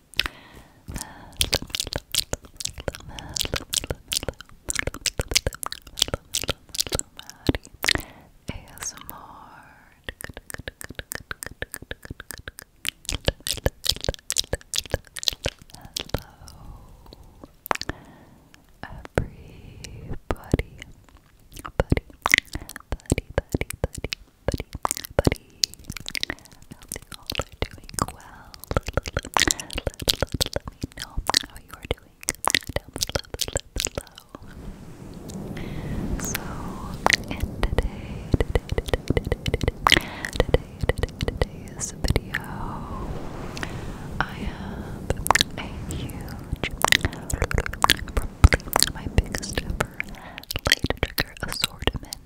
Buddy, buddy, buddy, buddy, buddy, buddy, I hope you are doing Let, me know how you are doing So, and today's video, I have a huge, probably my biggest ever light trigger assortment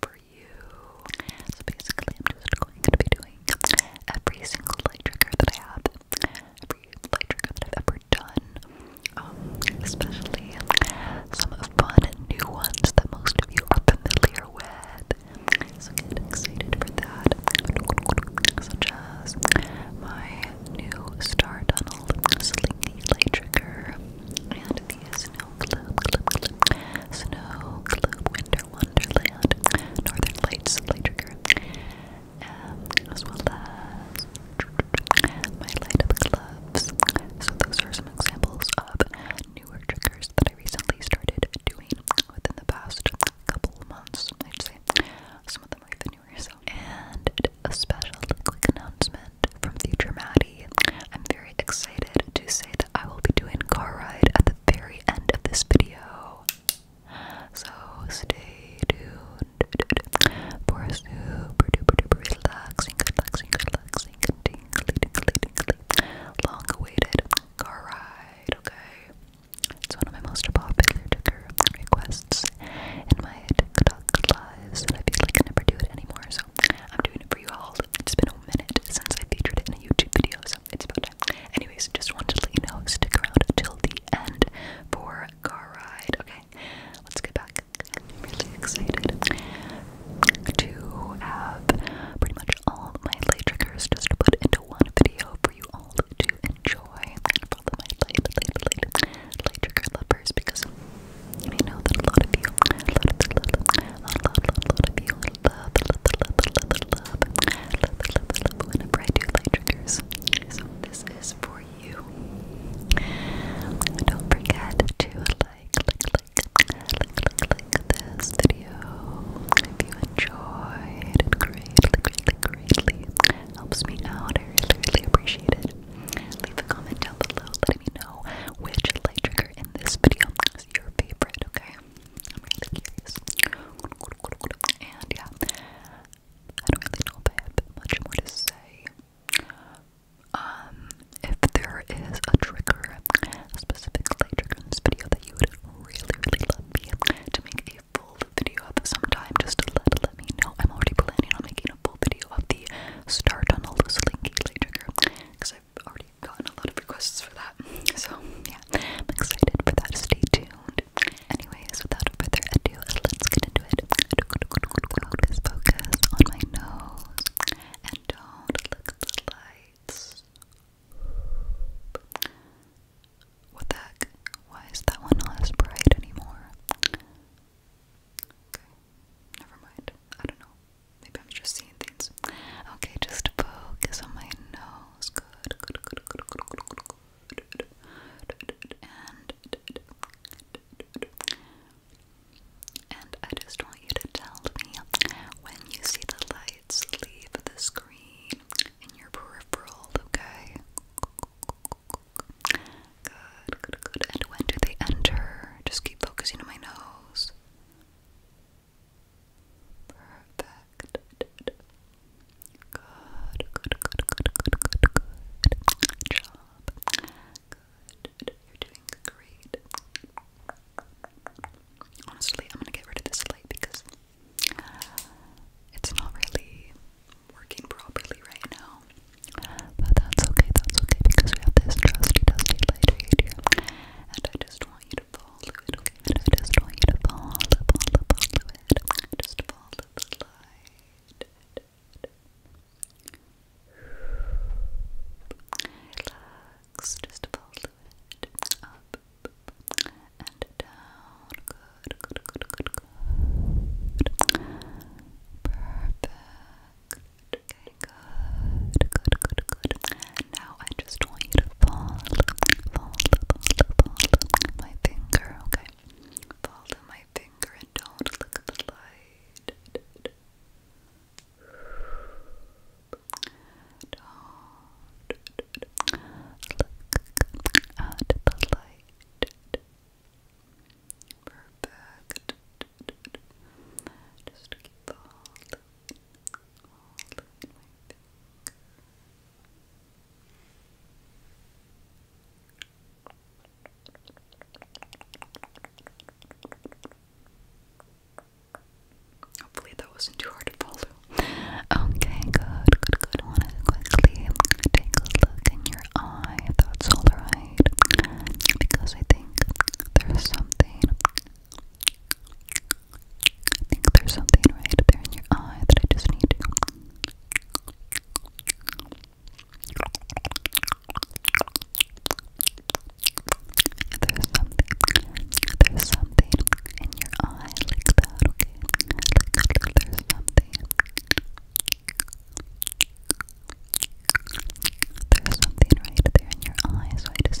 for so basically, I'm just going to be doing every single light trigger that I have, every light trigger that I've ever done, um, especially some of fun new ones that most of you are familiar with. So get excited for that. Such as my new Star Tunnel Slinky light trigger and these snow globe, globe, snow globe, winter wonderland, northern lights, light trigger, um, as well as my light up gloves. So those are some examples of newer triggers that I recently started doing within the past couple months. I'd say some of them are even newer. So and a special quick announcement from Future Maddie. I'm very excited to say that I will be doing car ride at the very end of this video. So stay tuned for a super duper duper relaxing, relaxing, relaxing, tingly, tingly, tingly, long awaited car ride, okay? It's one of my most popular trigger requests in my TikTok lives, and I feel like I never do it anymore, so so I'm doing it for you all. It's been a minute since I featured it in a YouTube video, so it's about time. Anyways, just wanted to let you know, stick around till the end for car ride. Okay, let's get back. I'm really excited to have pretty much all my light triggers just put into one video for you all to enjoy. And for all my light, light, light, light trigger lovers, because I know that a lot of you, a lot, a lot, a lot, a lot, a lot, a lot of you love, love, love, love, love, love whenever I do light triggers. So this is for you. Don't forget to like, like, like, like, like, like this video if you enjoyed. greatly, greatly, greatly helps me out. I really, really appreciate it. Leave a comment down below letting me know which light trigger in this video is your favorite, okay? I'm really curious. And yeah, I don't really know if I have much more to say. Um, if there is a trigger, a specific trigger in this video that you would really, really love me to make a full video of sometime, just let, let me know. I'm already planning on making a full video of the start on a loose linky trigger because i already gotten a lot of requests for that. So, yeah, I'm excited for that. Stay tuned. Anyways, without further ado, let's get into it. Focus, focus on my nose and don't look at the lights. What the heck? Why is that one not as bright anymore? Okay, never mind. I don't know. Maybe I'm just seeing things. Okay, just focus on my nose. Good, And, I just want you to tell me when you see the lights leave the screen in your peripheral, okay? good. And when do they enter? Just keep focusing on my nose. Perfect. Good, good, good, good, good, good, good job. Good. You're doing great. Honestly, I'm gonna get rid of this light because it's not really working properly right now. But that's okay, that's okay because we have this trusty, dusty light here. And I just I just want you to fall, fall, fall to it. Just fall to the light. Relax, just fall Up and down. Good, good, good, good, good. Perfect. good, good, good, good now I just want you to fall, fall, fall, fall to my finger, okay? Fall to my finger and don't look at the light. Don't look at the light. Perfect. Just keep falling. Hopefully that wasn't too hard to follow. Okay, good, good, good. want to quickly take a look in your eye if that's alright. Because I think there's something I think there's something right there in your eye that I just need to. There's something. There's something in your eye like that, okay? Like, there's something. There's something right there in your eye, I just need to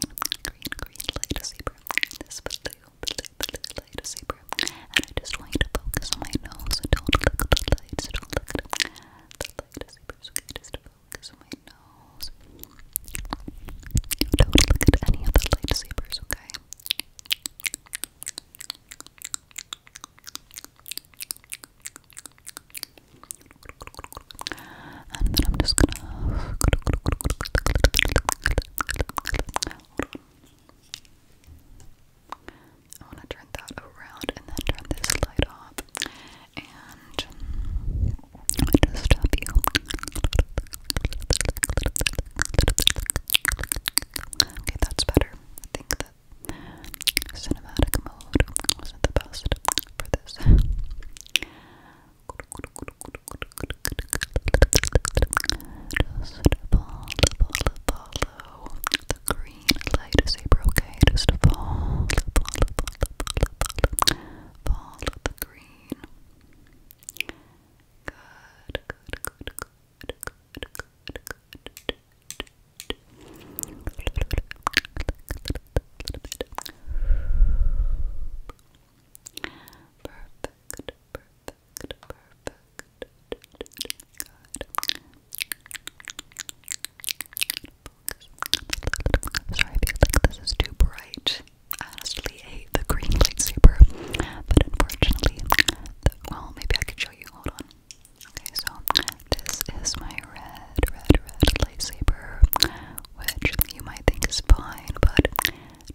green, green, green zebra. This blue, blue, blue light zebra. And I just want you to focus on my nose. Don't look at any of the light zebras, okay? And then I'm just gonna. I want to turn that around and then turn this light off. And I just have you. Okay, that's better. I think that cinematic mode wasn't the best for this. Just follow, follow, follow the green lightsaber, okay? Just follow, follow, follow, follow, follow the green. Good, good, good, good, good, good, good. Perfect, perfect, perfect. Sorry, I feel like this is too bright. I honestly hate the green lightsaber, but unfortunately, well, maybe I could show you. Hold on. Okay, so this is my red, red, red lightsaber which you might think is fine, but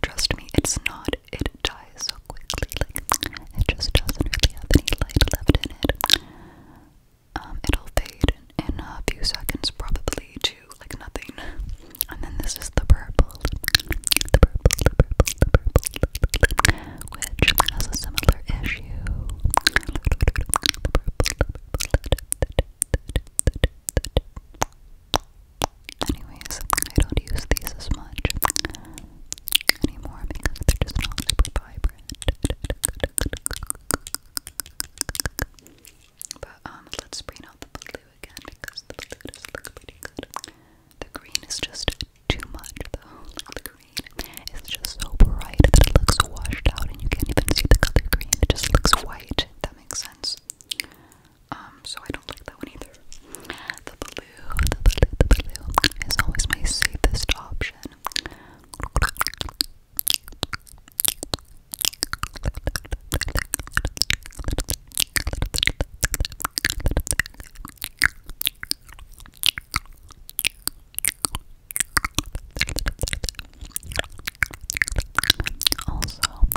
trust me, it's not. It dies so quickly, like it just doesn't really have any light left in it. it'll fade in, a few seconds, probably to like nothing. And then this is the purple, the purple, the purple, the purple, which has a similar issue. Anyways, I don't use these as much anymore because they're just not super vibrant. But um, let's bring out the blue again because the blue pretty good. The green is just too much though. the green is just so bright that it looks washed out and you can't even see the color green. It just looks white makes sense. Um, so I don't like that one either. The always my safest option. Also, I'm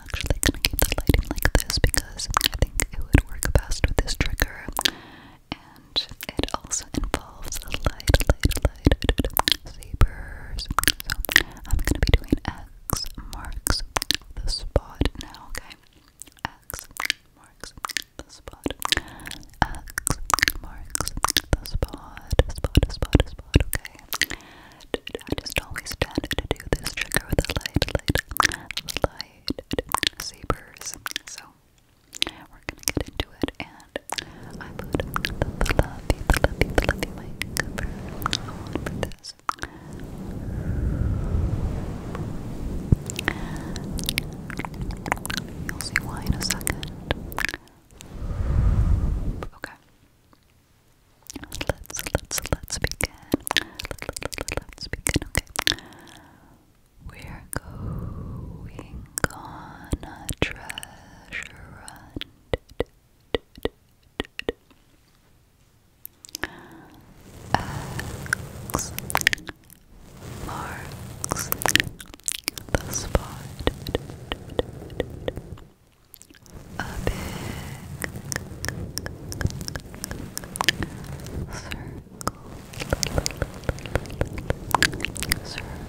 actually gonna keep the lighting like this because I think it would work best with this trigger, and it also involves a light, light, light sabers. So I'm gonna be doing X marks the spot now. Okay, X marks the spot. X marks the spot. Spot, spot, spot, okay. I just always tend to do this trigger with the light, light, light sabers. So we're gonna get into it and I put the lovey, the lovey, the lovey mic cover on for this. You'll see why in a second. Okay. Let's let's let's begin. Let's begin. Okay. We're going on a treasure hunt. marks the spot a big circle circle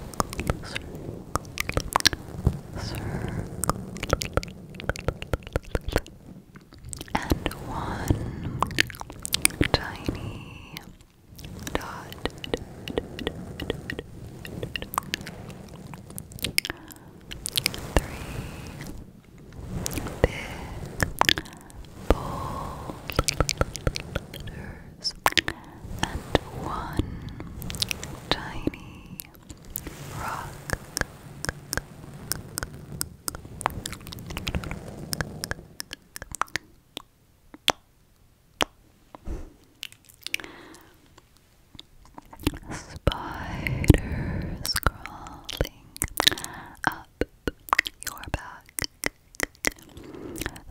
circle circle and one tiny dot three big bold and one tiny Rock, Spiders crawling up your back.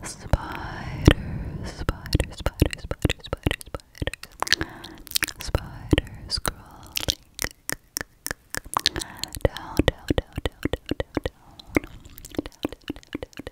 Spiders, spiders, spiders, spiders, spiders, spiders. Spiders crawling down, down, down, down, down, down, down, down, down, down, down,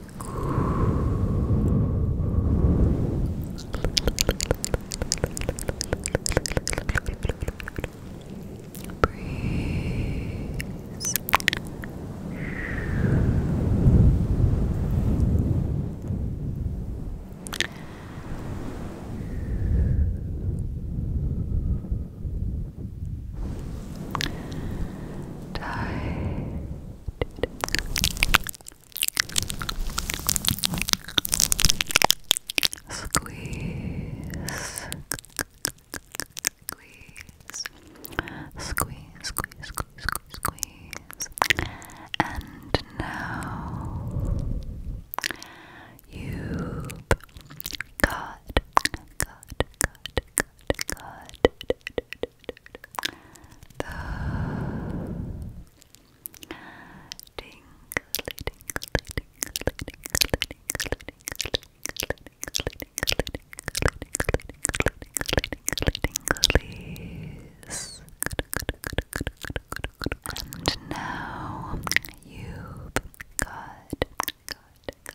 Breeze. Breeze tight. Squeeze. Squeeze. Squeeze, squeeze, squeeze, squeeze, squeeze. And now you got, got, got, got, got, and now you've got, got,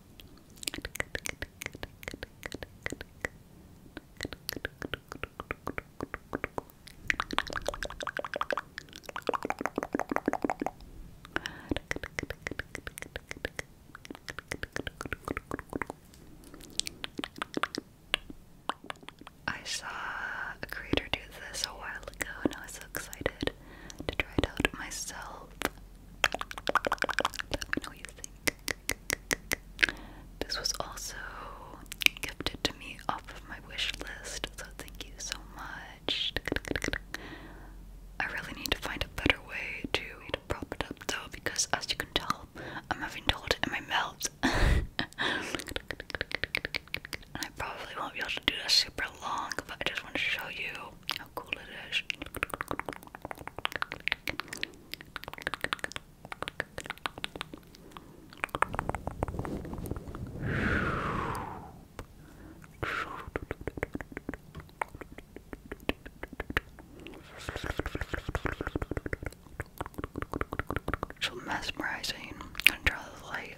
I saw a creator do this a while ago and I was so excited to try it out myself. Let me know what you think. This was also gifted to me off of my wish list, so thank you so much. I really need to find a better way to prop it up though, because as you can tell, I'm having told in my mouth. and I probably won't be able to do this super long, but I just want to show you how cool it is. So mesmerizing under the light.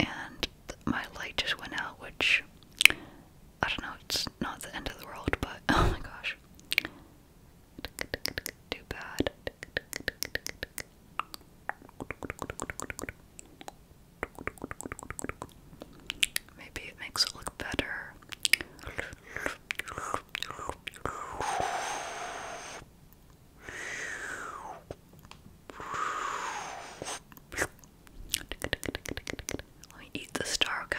And my light just went out, which I don't know, it's not the end of the world, but oh my gosh. Too bad. Maybe it makes it look better. Let me eat the star, okay?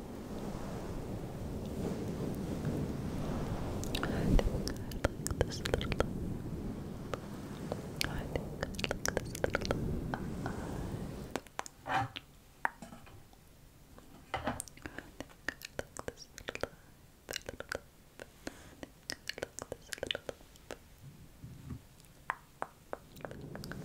I think I like this little I think I like this little I think I like this little eye. Little I think I like this little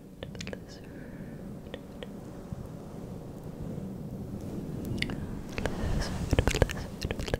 to the lizard. Lizard, lizard, lizard. Lizard,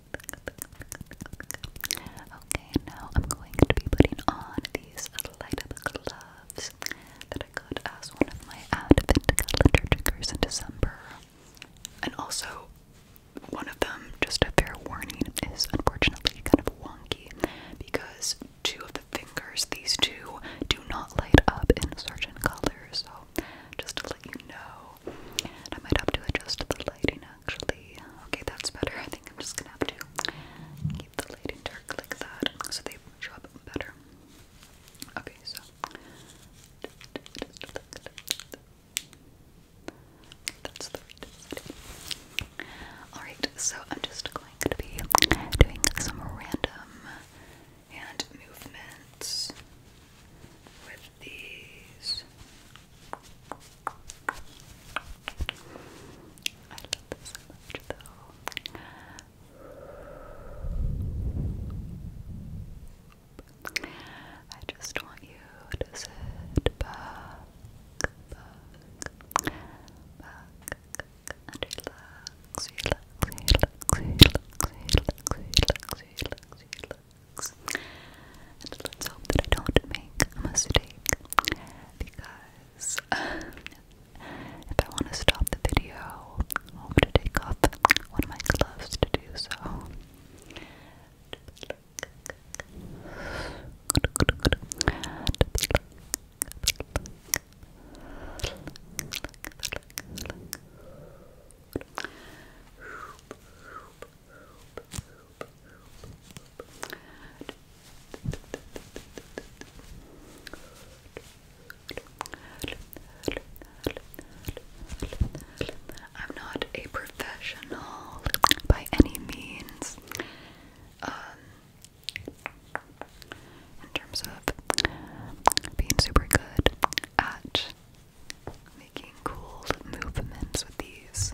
Okay, now I'm going to be putting on these light up gloves that I got as one of my advent calendar triggers in December. And also, one of them, just a fair warning, is unfortunately kind of wonky because two of the fingers, these two, do not light up in certain colors. So, just to let you know, I might have to adjust the lighting actually. Okay, that's better. I think I'm just gonna have to keep the light and dark like that so they show up better. Okay, so that's the right Alright, so I'm just going to be doing some random hand movements with these. I love this so much though. I just want you to sit back, back, back, and relax, relax, relax, relax, relax, relax, relax, relax let's hope that I don't make a mistake because if I want to stop the video, i have to take off one of my gloves to do so. I'm not a professional by any means. Um, in terms of being super good at making cool movements with these.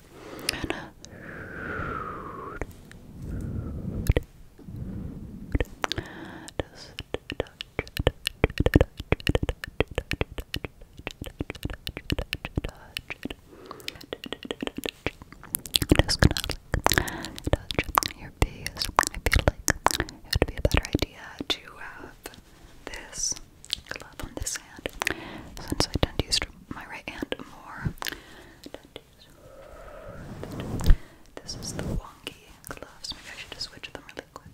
Just touch, just touch your face. I feel like it would be a better idea to have this glove on this hand since I tend to use my right hand more. This is the wonky gloves. Maybe I should just switch them really quick. Okay.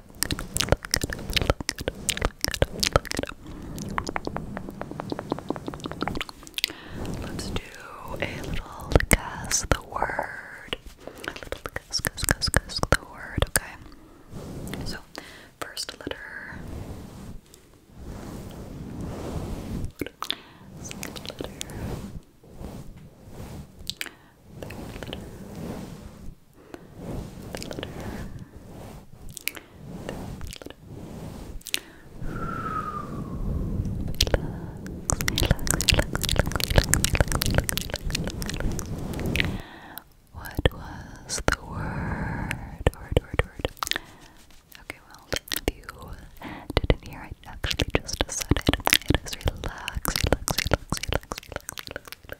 Let's do a little guess the word. A little guess, guess, guess, guess the word, okay? So, first letter. Second letter. Third letter. What was the word? Okay, well, if you didn't hear, I actually just said it. It is relax.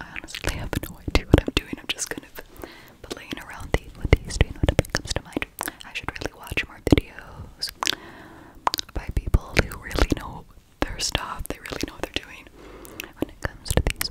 I honestly have no idea what I'm doing. I'm just kind of playing around the, with When doing whatever comes to mind. I should really watch more videos by people who really know their stuff. They really know what they're doing when it comes to these.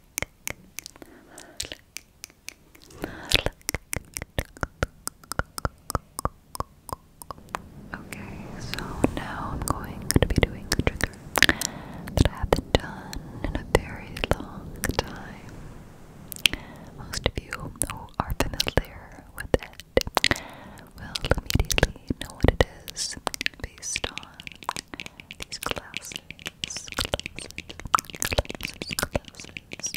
Okay, so now I'm going to be doing a trigger that I haven't done in a very long time. Most of you who are familiar with it will immediately know what it is based on on these glasses, glasses, glasses, glasses, glasses, Guess,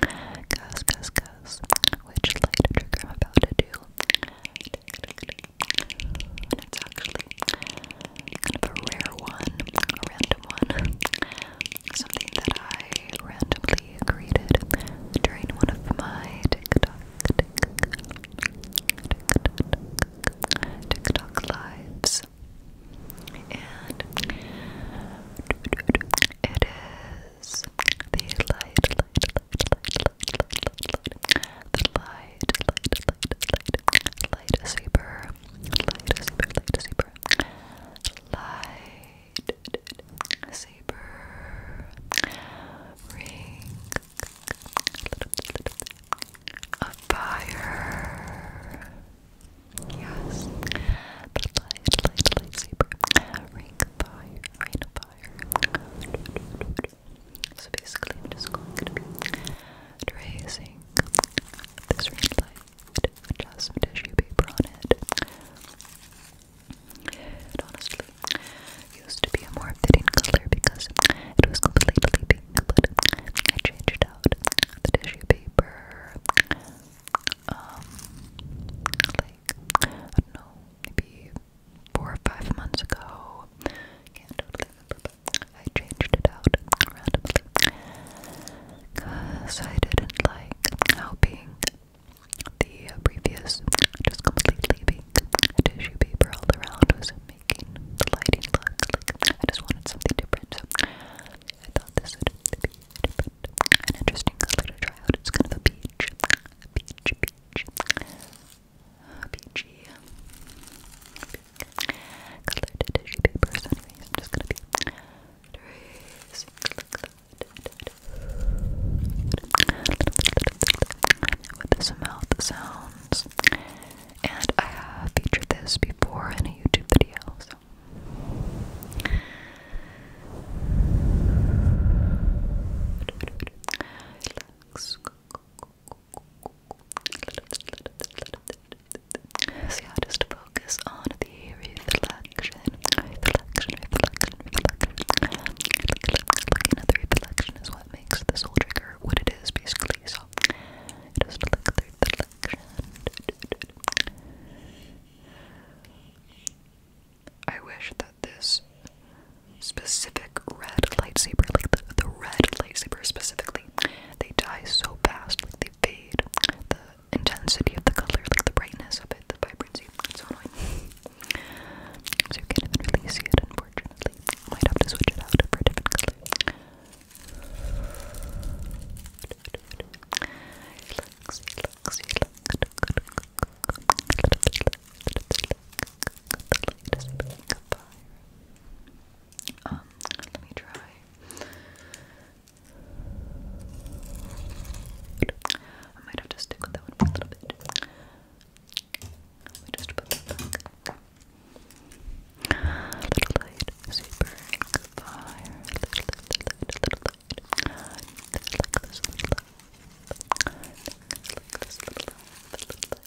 guess, guess, guess which light trigger I'm about to do. And it's actually kind of a rare one, a random one. Something that I randomly created during one of my TikTok, TikTok, TikTok lives. And it is the light, the light, light, light, light, light, super, light, super, light, super, light, super, ring of fire. Yes, light, light, light, super, ring fire, rain fire. So basically, I'm just going to be tracing this ring light, tissue paper on it. honestly used to be a more fitting color because it was completely pink, I changed out the tissue paper. Um, like, I don't know, maybe four or five months ago. I changed it out randomly because I didn't like how being the previous, just completely being tissue paper all around was making the lighting look I just wanted something different. So I thought this would be an interesting color to try out. It's kind of a peach, peach, peach. PG colored tissue paper. anyways, I'm just gonna be tracing with this mouth sounds. And I have featured this before in a YouTube video. See, I just focus on the reflection, reflection, reflection, reflection. Looking at the reflection is what makes the soul trigger what it is, basically. So, I wish that this specific red lightsaber, like the, the red lightsaber specifically, they die so fast, like they fade. The intensity of the color, like the brightness of it, the vibrancy, it's so annoying. so you can't really see it, unfortunately. Might have to switch it out for a different color. The light is fire. Um, let me try. I might have to stick with that one for a little bit. Let me just put that Little light is fire. Little light, little light, little light. Like this little light. Like this little light, little light.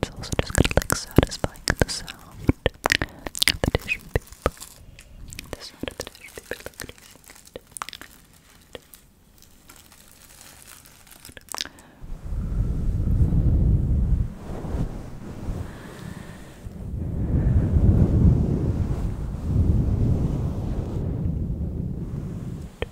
It's also just gonna like satisfying the sound of the tissue paper. The sound of the tissue paper like releasing it. Good.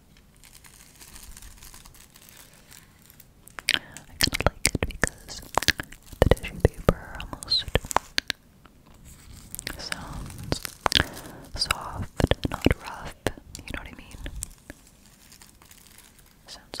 I kind of like it because the tissue paper almost sounds soft, not rough. You know what I mean? Sounds like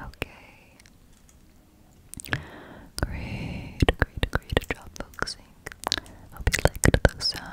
Okay. Great, great, great job focusing. Hope you liked the sound.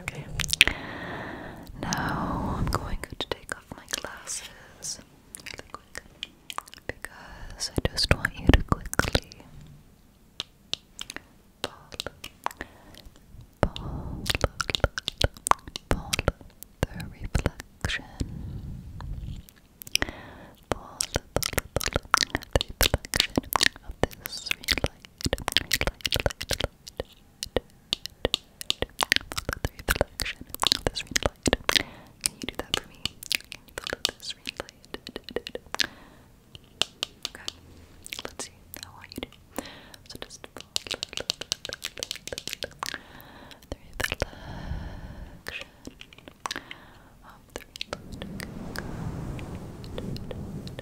Okay. Now I'm going to take off my glasses really quick because I just want you to quickly ball, ball, ball, the reflection. Ball, the reflection of this real Follow the reflection of this red light. Can you do that for me? Can you follow this red light? Okay, let's see how are you doing. So just follow the reflection of the red light. Good. Good.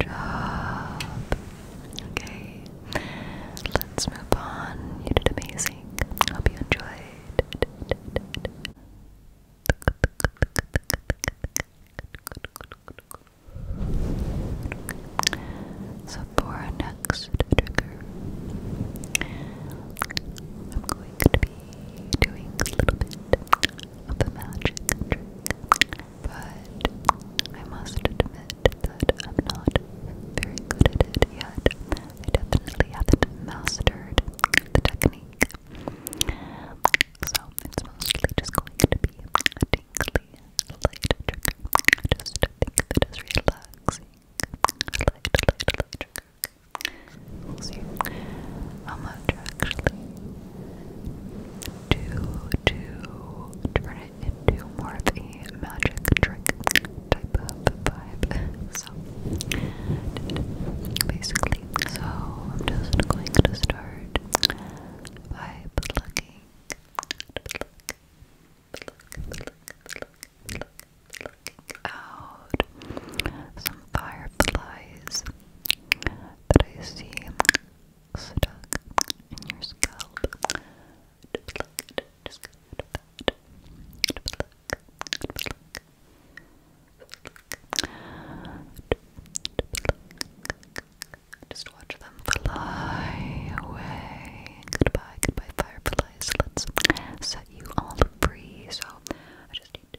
job. Okay, let's move on. You did amazing. Hope you enjoyed. So, for our next trigger, I'm going to be doing a little bit of a magic trick, but I must admit that I'm not very good at it yet. I definitely haven't mastered the technique, so it's mostly just going to be a tingly light trigger. Just think of it relaxing, light, light, light trigger. We'll see. How much actually to to turn it into more of a magic trick type of vibe. So basically, so I'm just going to start by plucking, looking out some fireflies that I see stuck in your scalp. Just look, just look, just look. Just watch them fly away. Goodbye, goodbye, fireflies. Let's set you all free. So I just need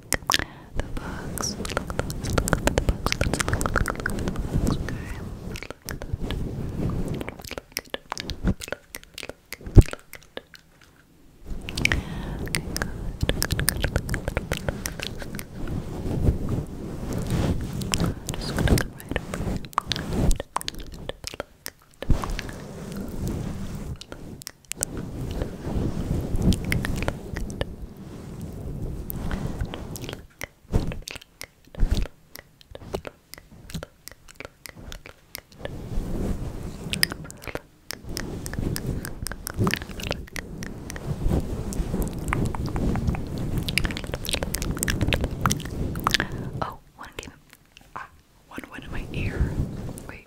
The books. Look at those. Look at the books. Let's look, look, look at the books. Okay. Look at that. Look at it. Look at it. Look at it. Okay, good. Good, good, good. I'm just gonna come right over here. Look, look, look. Look, look, look. Oh, one came. Ah, one went in my ear. Wait,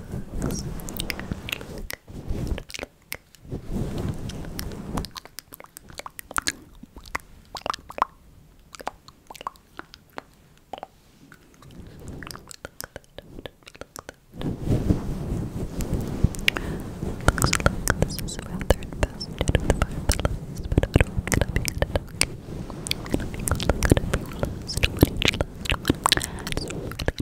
Looks like this is rather infested with fireflies, but I don't think I'll be good at okay. I think I'll look at every last one, each last one. It's really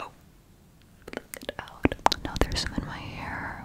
Oh, pluck it out. Now there's some in my hair.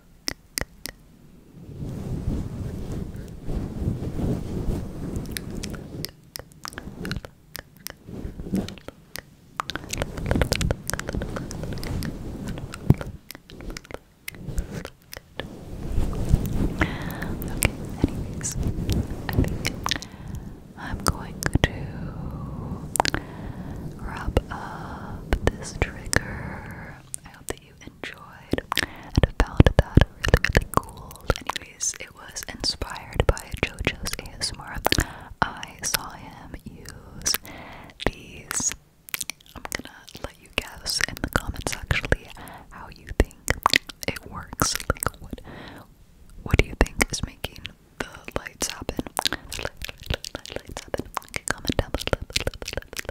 Okay, anyways, I think I'm going to wrap up this trigger. I hope you enjoyed and found that really, cool. Anyways, it was inspired by JoJo's ASMR. I saw him use these. I'm gonna let you guess in the comments actually how you think it works. Like, what, what do you think is making the lights happen? The light, comment down below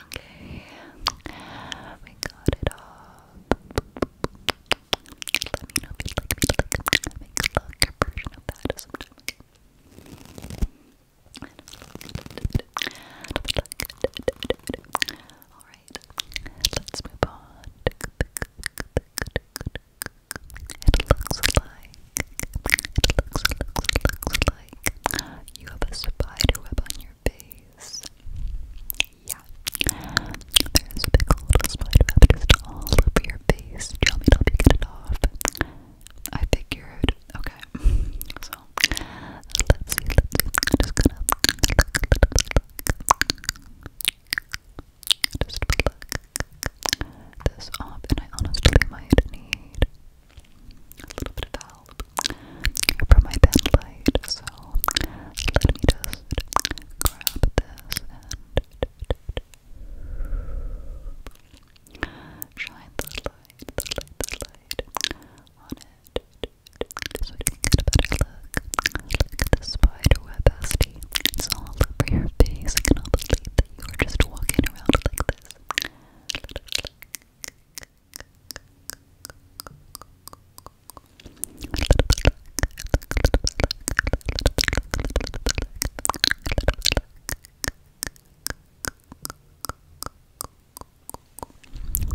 Okay, we got it all. Let me know if you'd like me to like make a longer version of that sometime. Alright, let's move on. It looks like, it looks, like you have a spider web on your face. Yeah, there's a big old spider web just all over your face. Do me help you get it off? I figured. Okay, so let's see, let's just going just pluck this off, I honestly might need a little bit of help from my bed light. So let me just grab this and shine the light, the light, the light on it. So you get look. at the spider web, It's all over your face. I cannot believe that you are just walking around like this.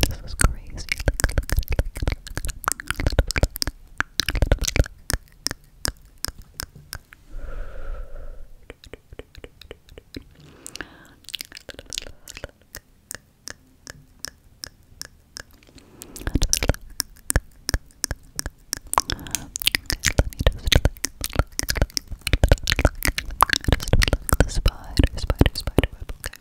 This is crazy just look, look, look, the spider, spider, spider web, okay?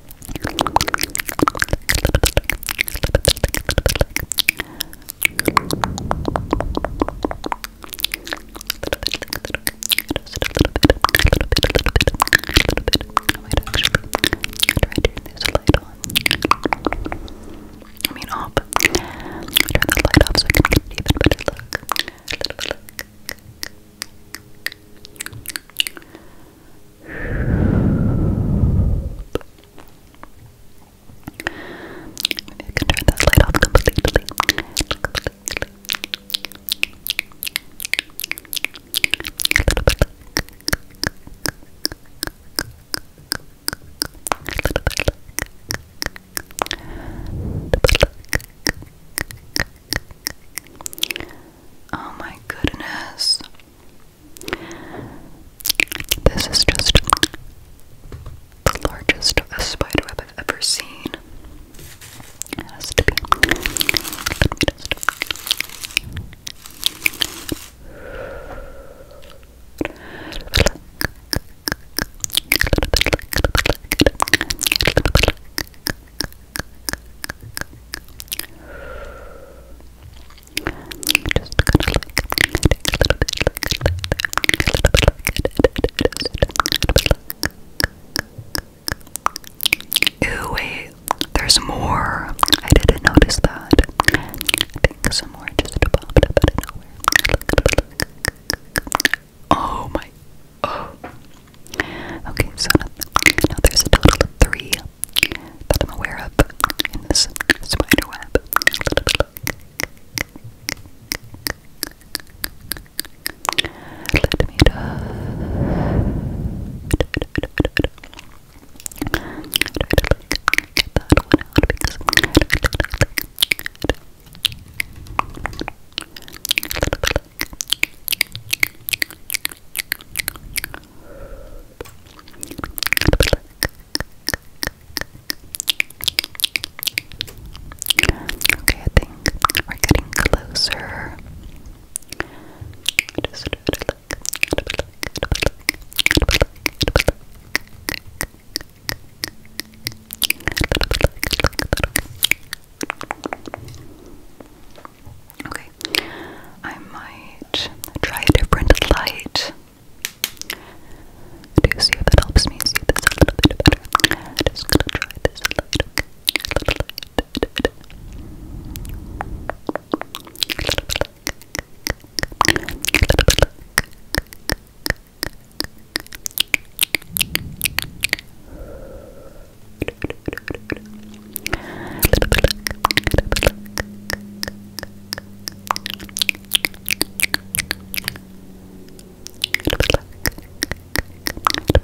I mean off. Turn the light off so I can get an even better look. A little bit look. I can turn this light off completely. Oh my goodness. This is just the largest spider web I've ever seen. has to be. Ooh, wait, there's more. I didn't notice that. I think some more just popped up out of nowhere. Oh my. Oh. Okay, so now there's a total of three that I'm aware of in this spider Let me get Okay, I think we're getting closer. Okay, I might try a different light to see if it helps me see this a little bit better. just gonna try this A little bit It'll be like, it'll be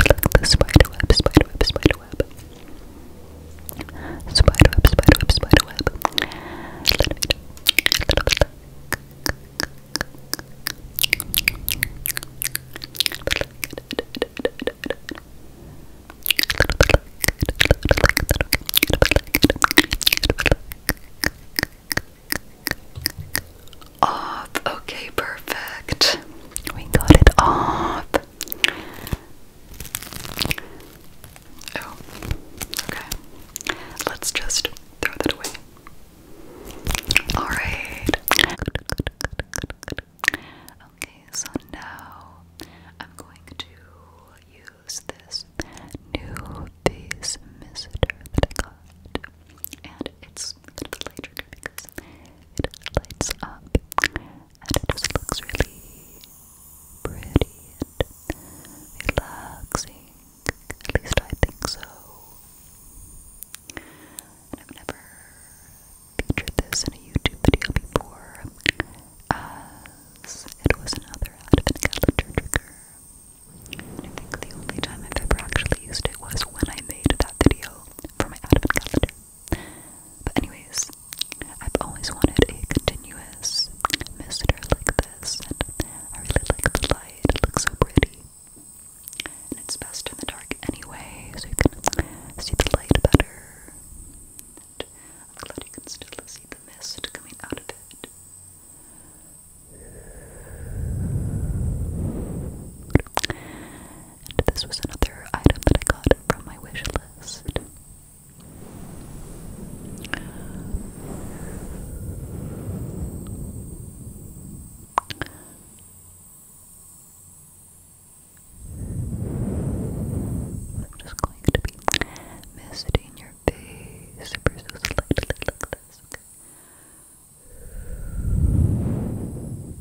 like the spider web, spider web, spider web. Spider web, spider web, spider web. Let me do a little bit like. Like, off. Okay, perfect. We got it off. Oh, okay. Let's just throw that away. Alright. Okay, so now I'm going to use this new face mister that I got. And it's a light trigger because it lights up and it just looks really pretty and relaxing. At least I think so. I've never featured this in a YouTube video before as it was another advent calendar trigger. I think the only time I've ever actually used it was when I made that video for my advent calendar. But anyways, I've always wanted a continuous mister like this, and I really like the light, it looks so pretty. And it's best in the dark anyway, so you can see the light better. I'm glad you can still see the mist coming out of it. And this was another item that I got from my wish list. I'm just going to be misty in your face ever so slightly like this, okay? Relax, relax, relax, relax, relax.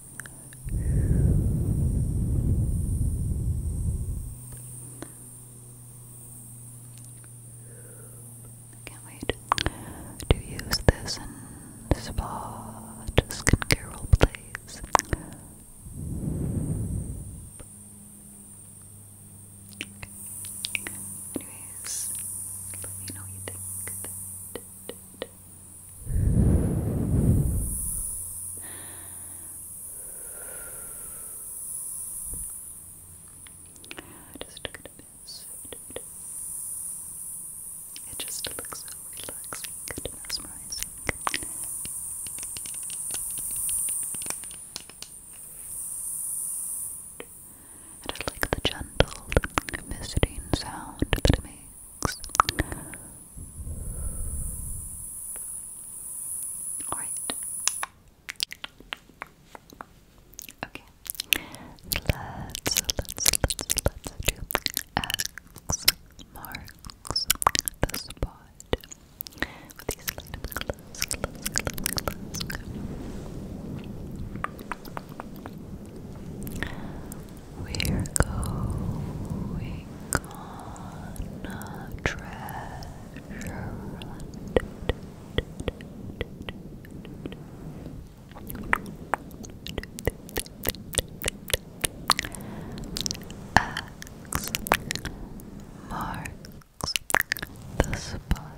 I can't wait to use this in spa skincare role plays. Anyways, let me know what you think. Just look at this. It just looks so relaxing and mesmerizing. And I like the gentle, misting sound that it Alright. Okay. Let's let's let's let's do marks the spot. With these light we're going on a treasure hunt. X marks the spot.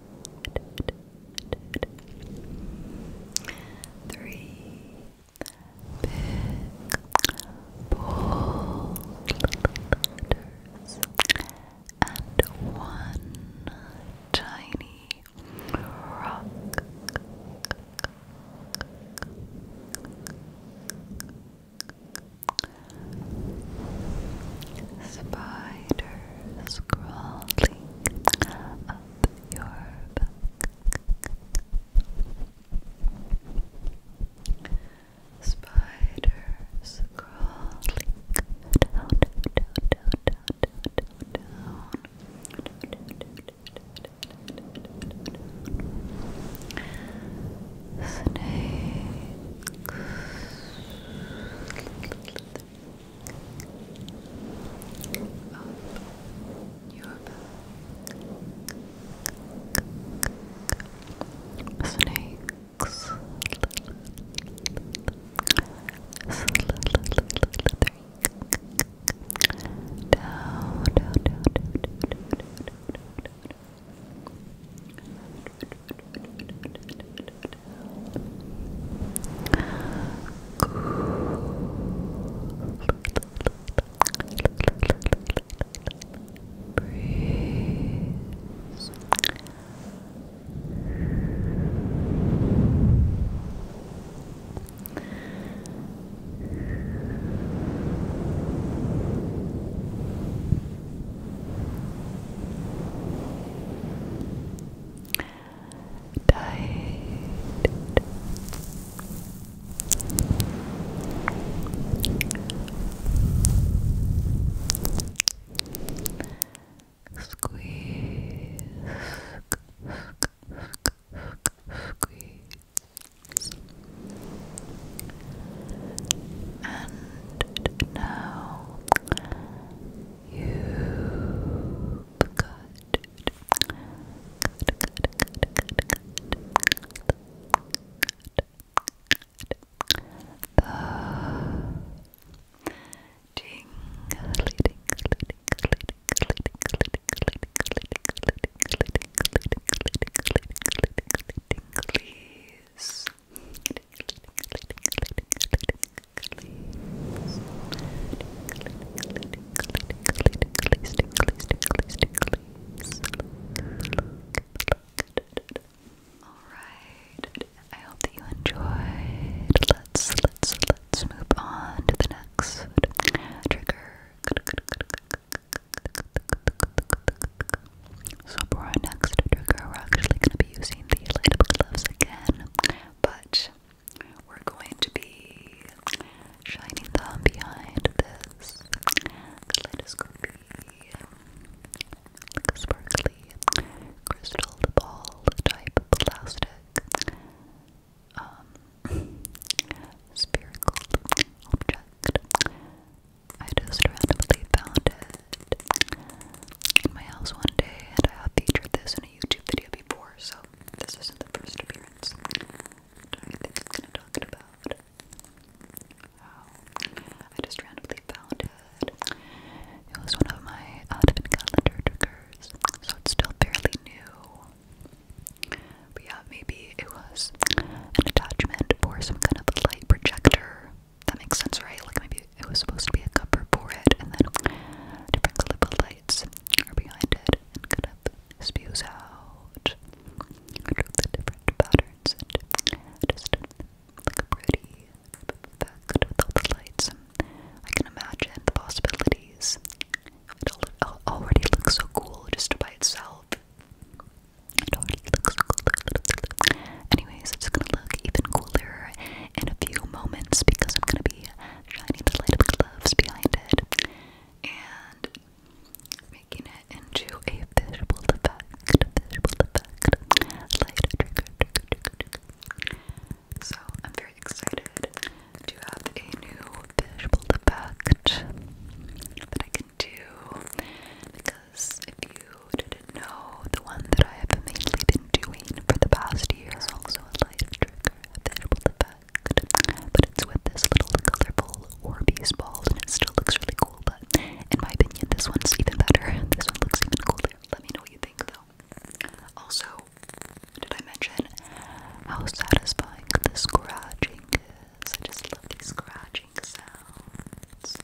Three big bold and one tiny Rock, Spiders crawling up your back. Spiders crawling down, down, down, down, down, down, down. Snakes up your back. Snakes slithering down, down, down, down, down, down, down, down, down. Breeze. Breeze. Tight. squeeze, and now you got good, The tingly, tingly, Alright, I hope that you enjoyed. Let's let's let's move on to the next trigger. So for our next trigger, we're actually going to be using the light up gloves again, but we're going to be shining them behind this kaleidoscope sparkly crystal ball type plastic um, spherical object. I just randomly found it in my house one day, and I have featured this in a YouTube video before, so this isn't the first appearance. I think it's gonna talk about how I just randomly found it. It was one of my advent calendar triggers, so it's still fairly new. But yeah, maybe it was an attachment for some kind of light projector that makes sense, right? Like maybe it was supposed to be a cover for it, and then different clip lights are behind it and kind of spews out different patterns and just like pretty with all the lights. I can imagine the possibilities. It already looks so cool just by itself. It already looks so cool. Anyways, it's gonna look even cooler in a few moments because I'm gonna be shining the light up gloves behind it and making it into a visual effect, effect, So I'm very excited to have a new visual effect that I can do because if you didn't know, the one that I have mainly been doing for the past year is also a light trigger, a edible effect, but it's with this little colorful Orbeez balls and it still looks really cool, but in my opinion this one's even better, this one looks even cooler. Let me know what you think though. Also, did I mention how satisfying the scratching is? I just love these scratching sounds.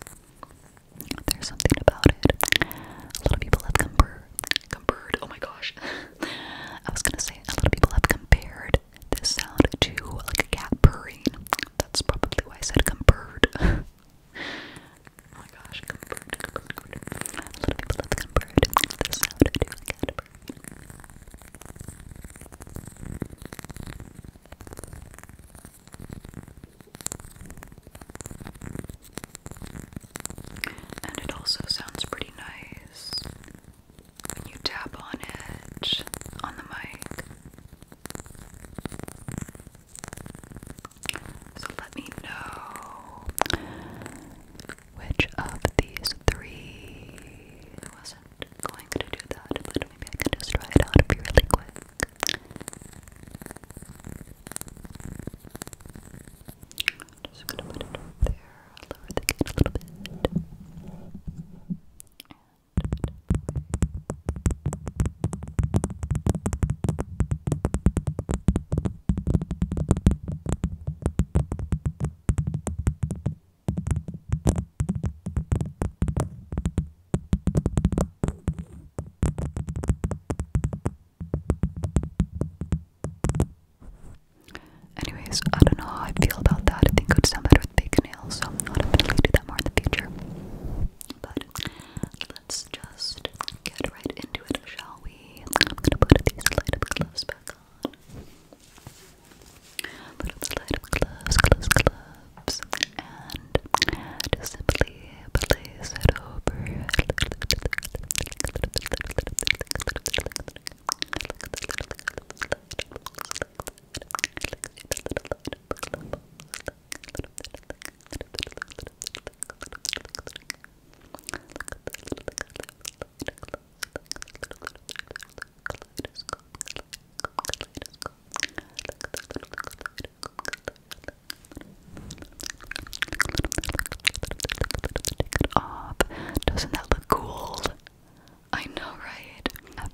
There's something about it. A lot of people have compared. Compared. Oh my gosh. I was gonna say a lot of people have compared this sound to like a cat purring. That's probably why I said compared. oh my gosh. A lot of people have compared this sound to a cat and it also sounds pretty nice when you tap on it on the mic. So let me know which of these three wasn't going to do that, maybe I can just try it out and be really quick. I'm Just gonna put it over there, lower the gate a little bit. Anyways, I don't know how I feel about that. I think it would sound better with big nails, so I'll am not to do that more in the future. But let's just get right into it, shall we? I'm gonna put these light up gloves back on. Put gloves, gloves, gloves, and just simply place it over Look, look, look, look, doesn't that look cool? I know, right?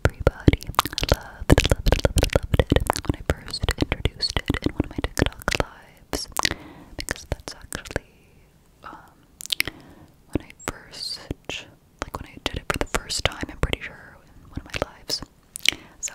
Everybody loved, loved, it when I first introduced it in one of my TikTok lives because that's actually um, when I first, like when I did it for the first time, I'm pretty sure, in one of my lives. So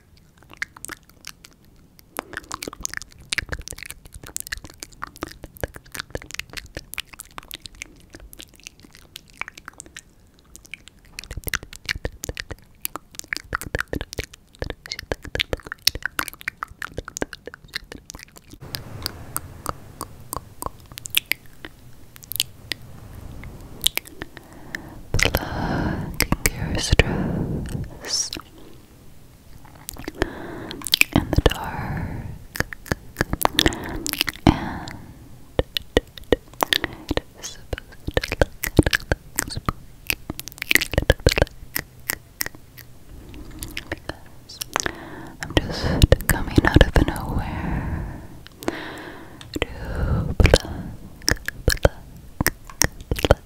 Plucking your stress in the dark, and I'm just coming out of nowhere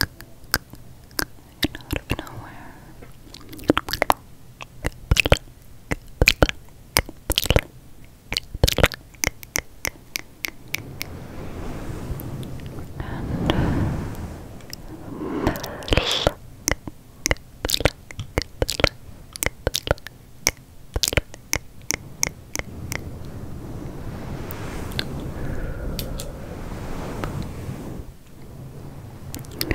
and out of nowhere. And do you see? Good.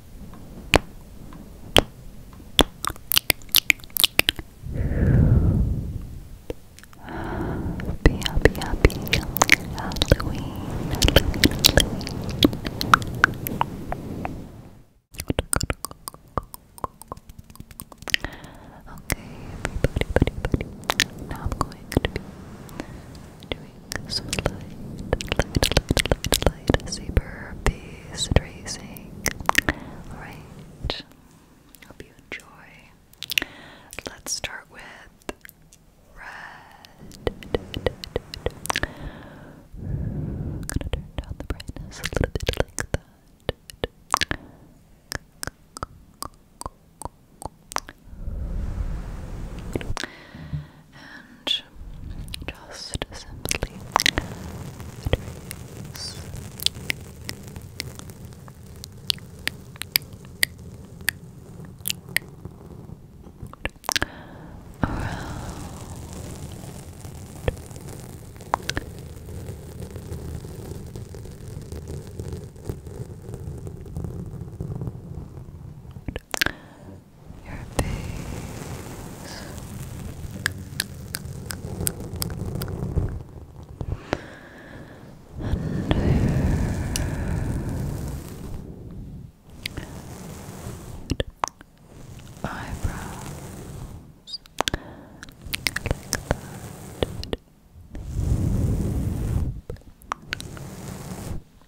Happy, happy, happy Halloween, Okay, everybody, buddy, Now I'm going to be doing so light, light, light, light, light, super peace tracing. Alright, hope you enjoy. Let's start with red. gonna turn down the brightness a little bit like that and just simply Around your face. And your eyebrows like that.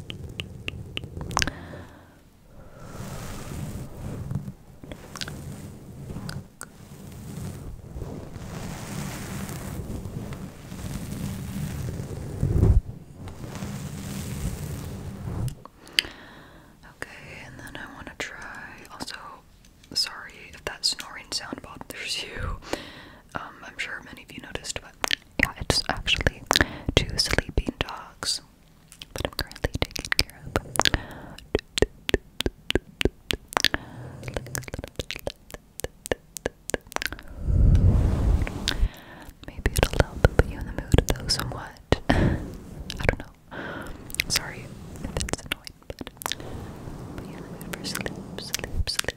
Okay, and then I want to try. Also, sorry if that snoring sound bothers you. Um, I'm sure many of you noticed, but yeah, it's actually two sleeping dogs that I'm currently taking care of. Maybe it'll help put you in the mood though somewhat. I don't know. Sorry if it's annoying, but put you in the mood for sleep, sleep, sleep.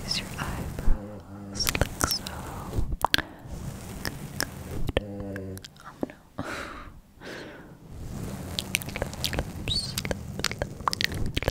Raise your eyebrows like so. Good. Oh no. Lips, lips, lips, lips,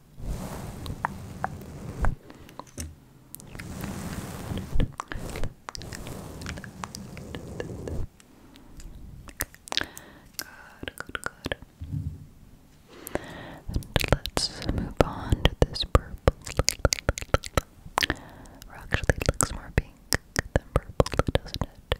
Good, good, good. let's move on to this purple. actually, looks more pink than purple, doesn't it?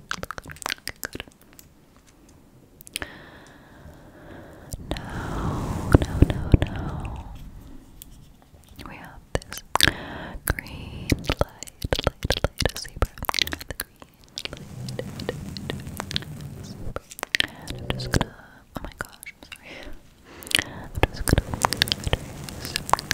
Good. No, no, no, no. We have this green light, light, light, zebra. The green light, I'm just gonna, oh my gosh, I'm sorry. I'm just gonna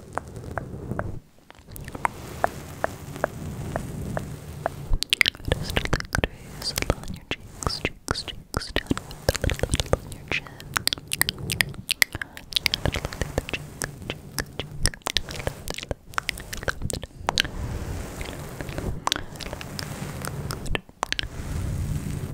Just a little crease, a little on your cheeks, cheeks, cheeks, down a little, little on your chin. A little on the cheek, cheek, cheek. Good. Good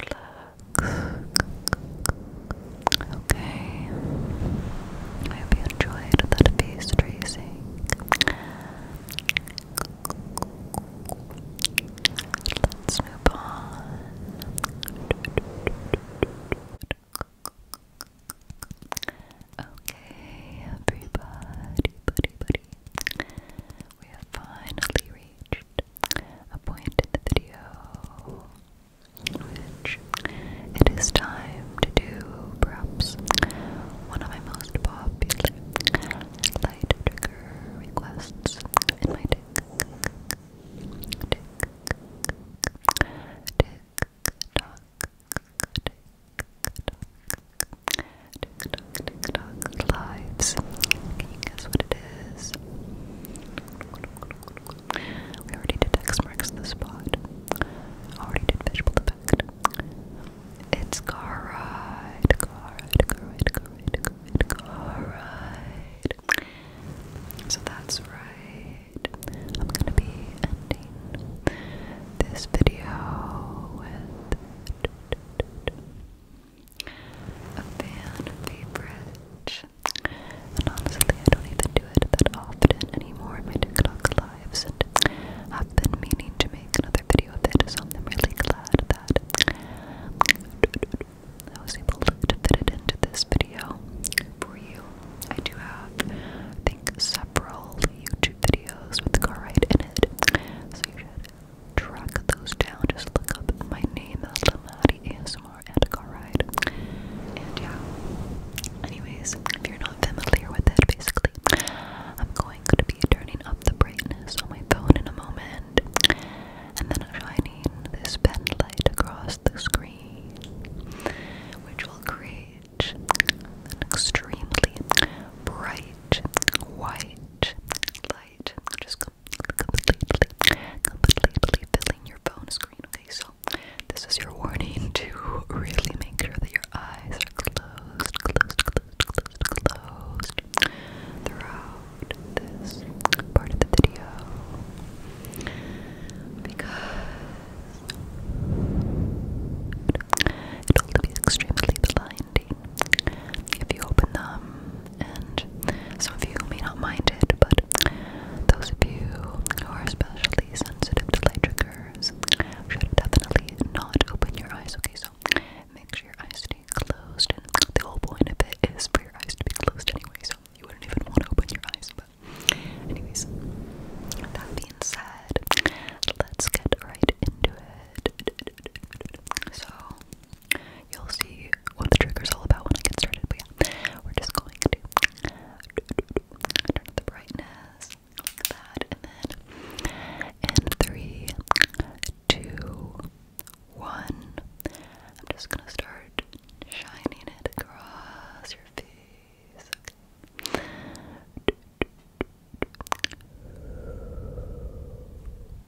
Relax. Okay. I hope you enjoyed that face tracing. Let's move on. Okay, everybody, buddy, buddy. We have finally reached a point in the video which it is time to do perhaps one of my most popular light trigger requests in my deck. Tick, tick, tock, tick, tock, tick, tock, TikTok lives. Can you guess what it is? We already did X marks the spot. Already did visual effect. It's car ride, car ride, car ride, car ride, car ride. So that's right. I'm gonna be ending this video with a fan favorite. And honestly, I don't even do it that often anymore in my TikTok lives, I've been meaning to make another video of it, so I'm really glad that I was able to fit it into this video for you. I do have, I think, several YouTube videos with the Car Ride in it, so you should track those down, just look up my name, the Lamadi ASMR and Car Ride. And yeah. Anyways, if you're not familiar with it, basically, I'm going to be turning up the brightness on my phone in a moment. And then I'm shining this pen light across the screen, which will create an extremely bright white light. Just completely, completely filling your phone screen. Okay, so this is your warning to really make sure that your eyes are closed, closed, closed, closed, closed throughout this part of the video because it will be extremely blinding if you open them. And some of you may not mind it, but those of you who are especially sensitive to light triggers should definitely not open your eyes. Okay, so make sure your eyes stay closed. And the whole point of it is for your eyes to be closed anyway, so you wouldn't even want to open your eyes. But, anyways, that being said, let's get right into it. So, You'll see what the trigger's all about when I get started, but yeah, we're just going to turn up the brightness that, and then in three, two, one, I'm just gonna start shining it across your face.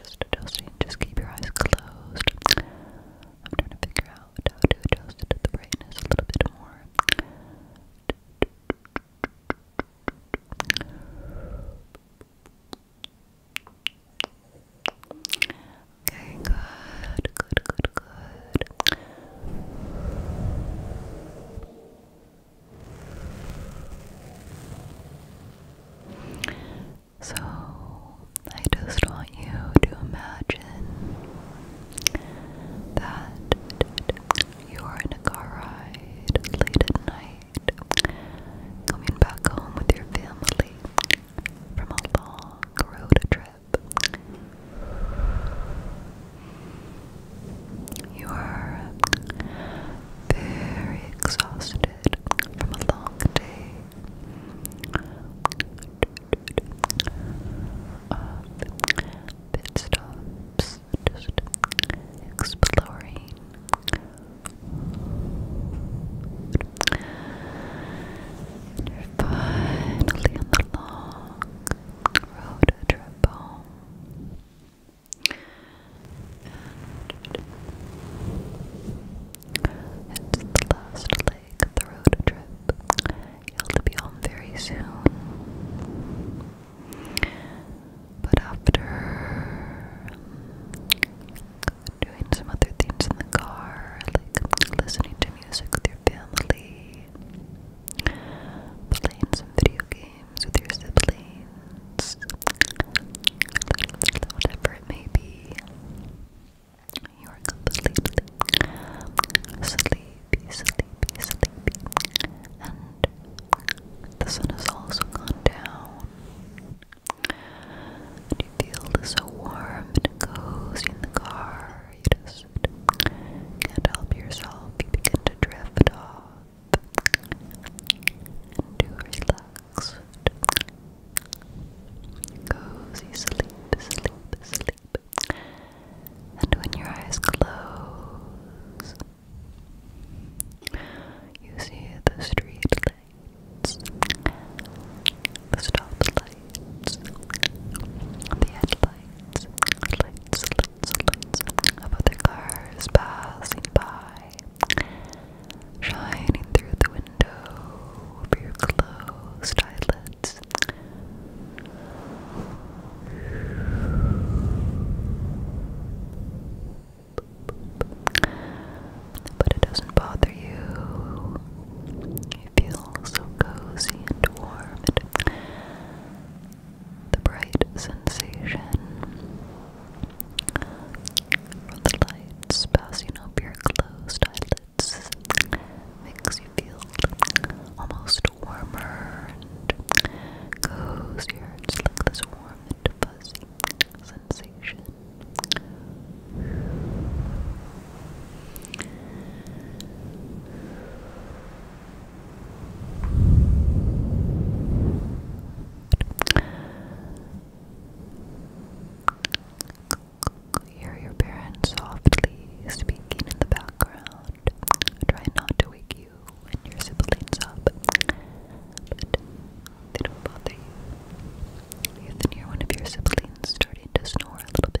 just adjusting. Just keep your eyes closed. I'm trying to figure out how to adjust the brightness a little bit more. Okay, good, good, good, good. So, I just want you to imagine that you are in a car ride late at night, coming back home with your family from a long road trip. You are very exhausted from a long day of stops, just exploring finally on the long road trip home it's the last leg of the road trip. You'll be home very soon. But after doing some other things in the car, like listening to music with your family, playing some video games with your siblings, whatever it may be, you are completely asleep, sleepy, sleepy, sleepy. And the sun has also gone down. And you feel so warm and cozy in the car. You just can't help yourself. You begin to drift off. And to relax. Cozy sleep, sleep, sleep. And when your eyes close, you see the street lights, the stop lights, the headlights, lights, lights, lights of other cars passing by shining through the window your closed eyelids. But it doesn't bother you. You feel so cozy and warm. the bright sensation from the lights bouncing over your closed eyelids makes you feel almost warmer and cozier. It's like this warm and fuzzy sensation. Hear your parents softly speaking in the background. Try not to wake you when your siblings up, they don't bother you. You can hear one of your siblings starting to snore a little bit.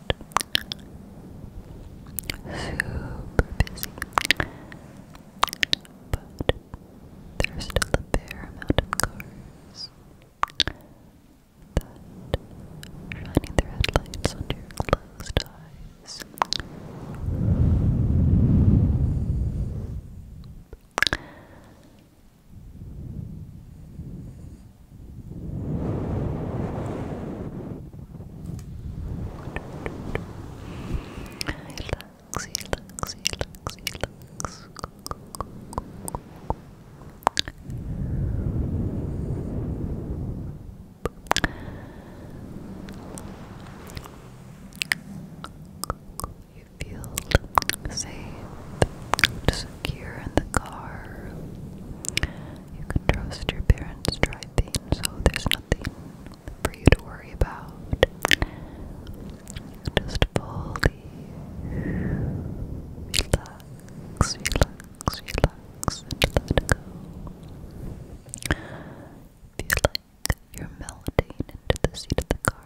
Super busy. But there's still a fair amount of cars that shining their headlights under your closed eyes. Relax, relax, relax, relax. You feel safe, just secure in the car. You can trust your parents driving, so there's nothing for you to worry about. Just fully relax, relax, relax, and let go. Feel like you're melting into the seat of the car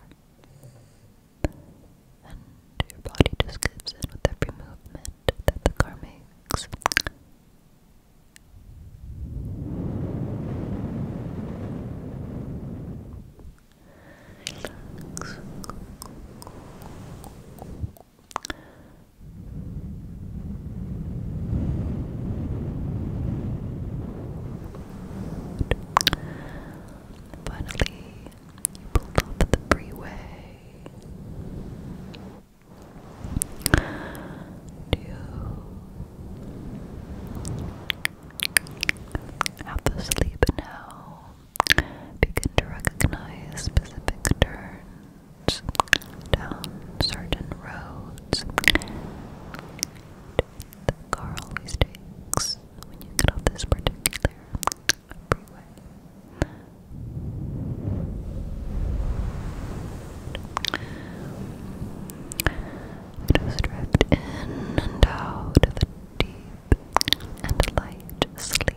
and your body just gives in with every movement that the car makes. Relax. Finally, you pulled off at the freeway. Do have the sleep now? Begin to recognize specific turns down certain roads. The car always when you get off this particular freeway. Shadows drift in and out deep and light sleep.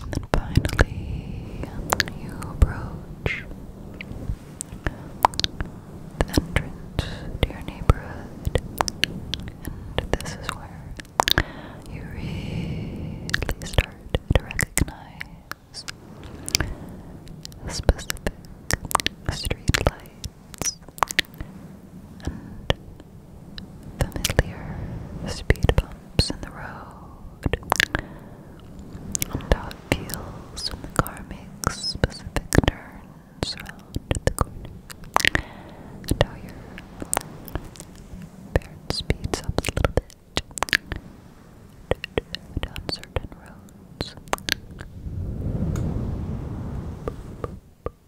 And then finally, you approach the entrance to your neighborhood, and this is where you really start to recognize specific street the familiar speed bumps in the road. And how it feels when the car makes specific turns around the corner. And how your parent speeds up a little bit down certain roads then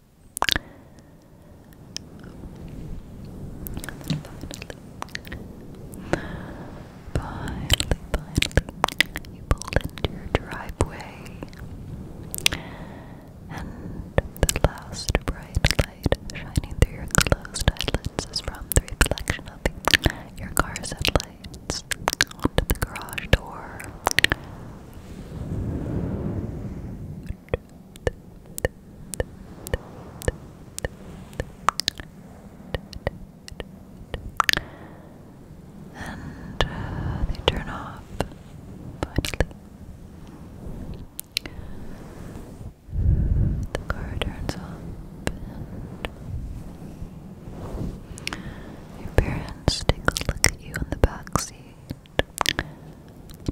finally, finally, you pulled into your driveway, and the last bright light shining through your closed eyelids is from the reflection of your car's headlights onto the garage door. And uh, they turn off finally. The car turns off, your parents take a look at you in the back seat.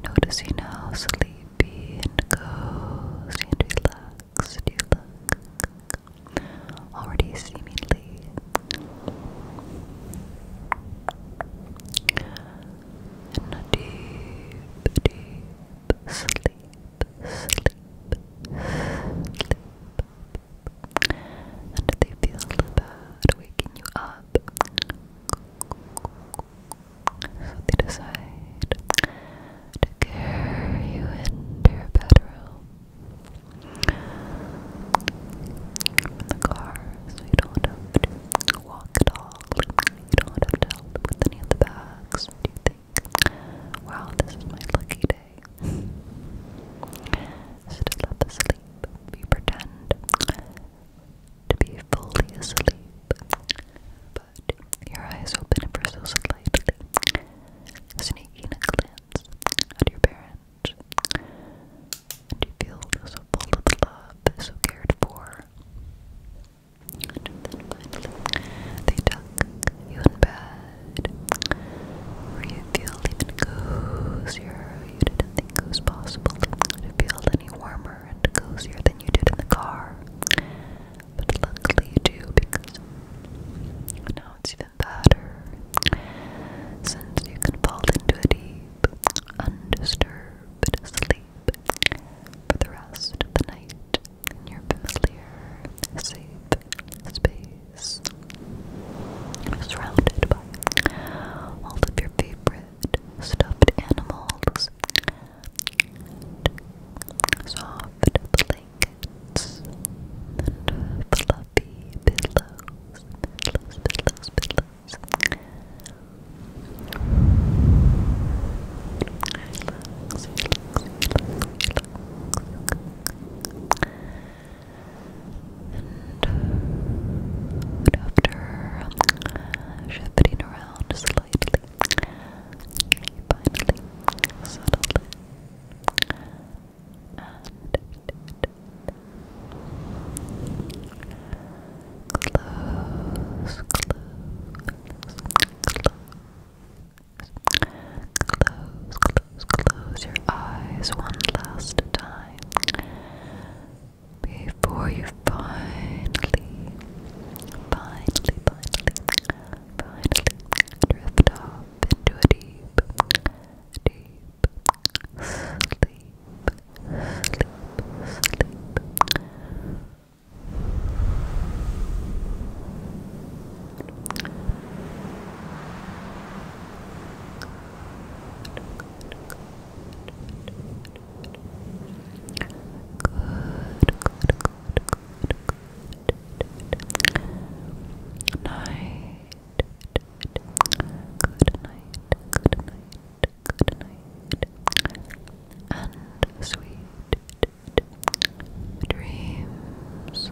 Noticing how sleepy and cozy and relaxed you look, already seemingly. In a deep, deep sleep, sleep, sleep. And they feel bad waking you up. So they decide to carry you into your bedroom from the car so you don't have to walk at all. You don't have to help with any of the bags. Do you think, wow, this is my lucky day? so just let the sleep. We pretend to be fully asleep, but your eyes open ever so slightly, sneaking a glance at your parents. and you feel so full of love, so cared for. And they tuck you in bed, where you feel even cozier. You didn't think was possible to feel any warmer warmer and cozier than you did in the car. But luckily you do because now it's even better since you can fall into a deep, undisturbed sleep for the rest of the night in your familiar, safe space surrounded by all of your favorite stuffed animals, soft blankets, and pillows, pillows, pillows, pillows. And after shifting around slightly. You finally And Close, close, close your eyes one last time before you finally, finally, finally, finally drift off into a deep, deep sleep, good, good, Night. Good night, good night, good night. And sweet dreams.